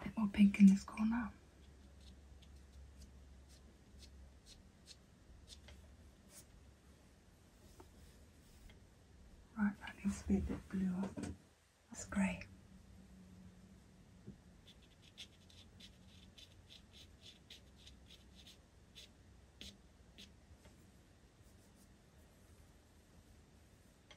A bit more pink in this corner. Right, that needs to be a bit bluer. That's grey.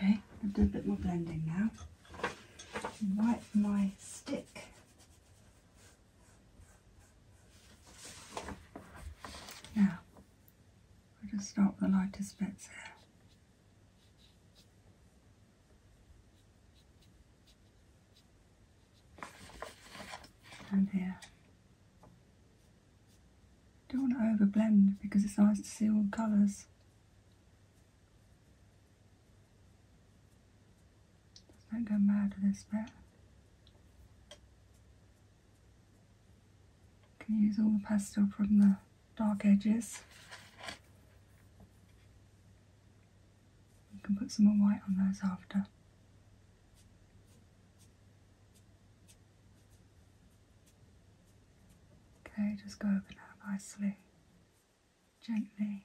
Okay, I'll do a bit more blending now. Wipe my stick now, we'll just stop the lightest bits there And here. Don't want to overblend because it's nice to see all the colours. Does not go mad this bit. Can use all the pastel from the dark edges. You can put some more white on those after. Okay, just go over now nicely, gently.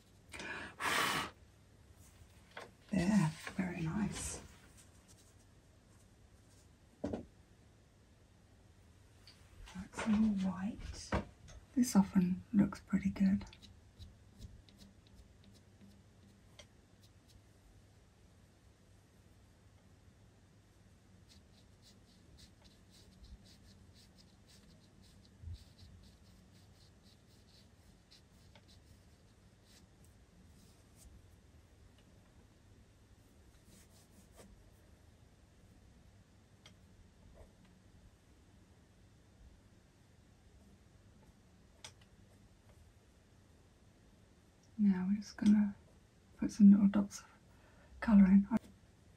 There, very nice. That's all white. This often looks pretty good. Now we're just gonna put some little dots of colour in.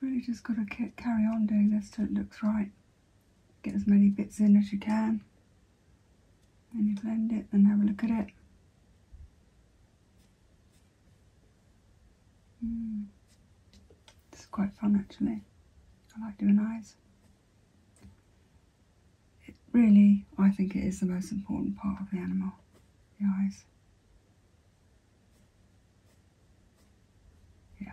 You've really just got to carry on doing this till it looks right. Get as many bits in as you can. Then you blend it and have a look at it. Mm. It's quite fun actually. I like doing eyes. It really, I think it is the most important part of the animal, the eyes. Yeah.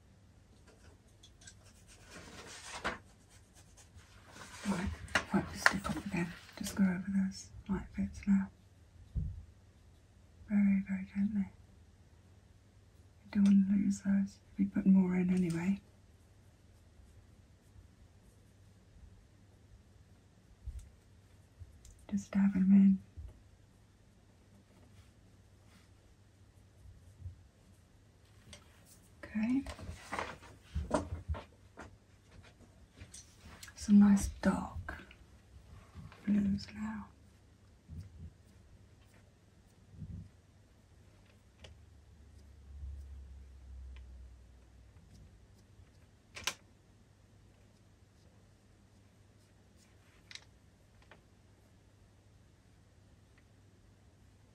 Right, right, just stick off again. Just go over those light bits now. Very, very gently. You don't want to lose those. We're putting more in anyway. Just dab them in. Okay. Some nice dark blues now.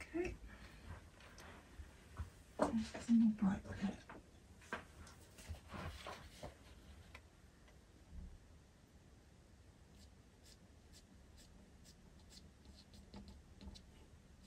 Okay. There's more bright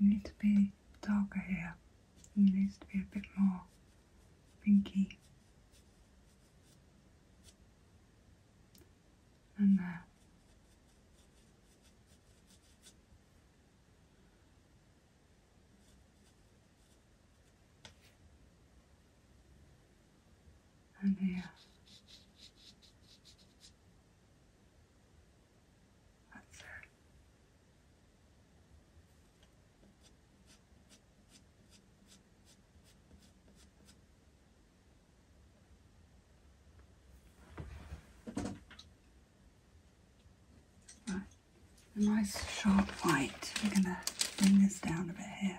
You need to be darker here. Needs to be a bit more pinky. And there and here. That's it. Right, a nice sharp white. We're going to bring this down a bit here.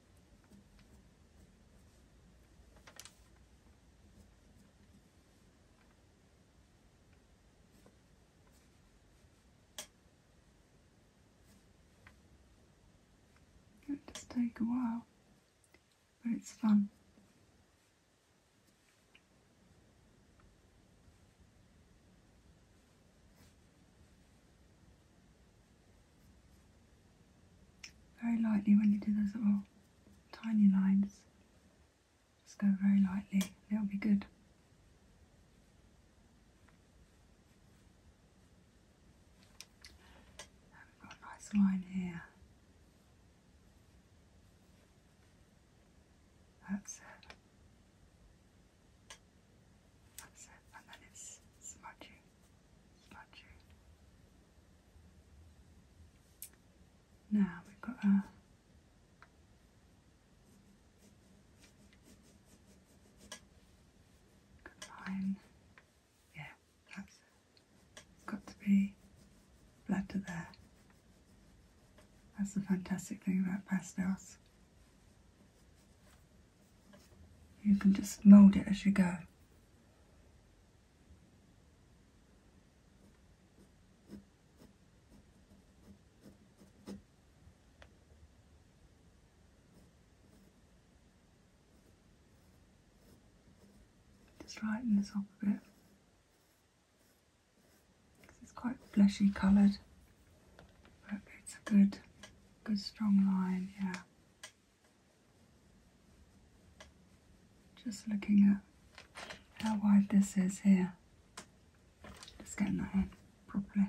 It does take a while, but it's fun. Very lightly when you do those little tiny lines. Just go very lightly, it'll be good. we've got a nice line here. That's it. That's it, and then it's smudging. Now we've got a line. Yeah, that's has got to be blood there. That's the fantastic thing about pastels. You can just mould it as you go. Just lighten this up a bit. It's quite fleshy coloured, but it's a good, good strong line, yeah. Just looking at how wide this is here. Just getting that in properly.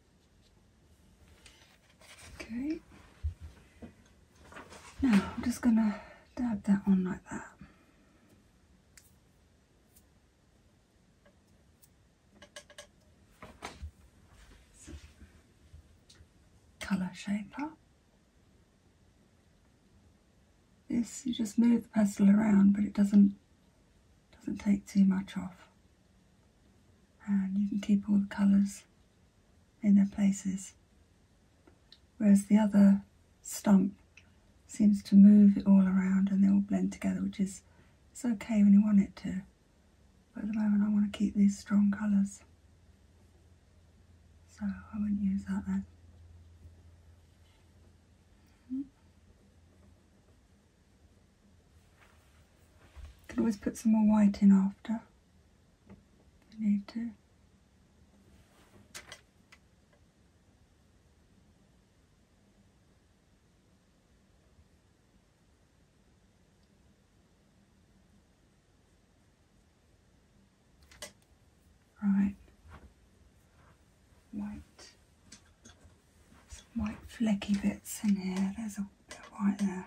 Okay. Now I'm just going to dab that on like that. Colour shaper. This, you just move the pencil around but it doesn't doesn't take too much off and you can keep all the colours in their places. Whereas the other stump seems to move it all around and they all blend together, which is it's okay when you want it to. But at the moment I want to keep these strong colours. So I wouldn't use that then. can always put some more white in after later. Right, white, some white flecky bits in here, there's a white there.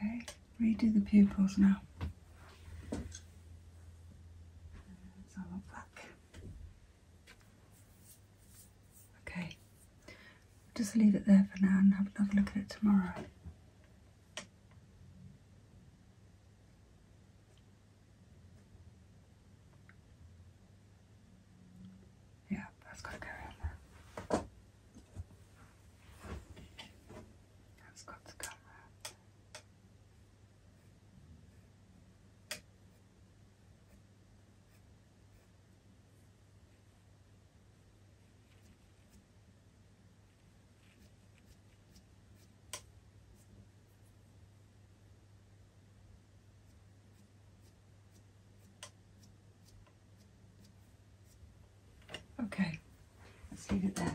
Okay, redo the pupils now. Let's Okay, just leave it there for now and have another look at it tomorrow. Yeah, that's got to go in there. That's got to come out. Okay, let's leave it there.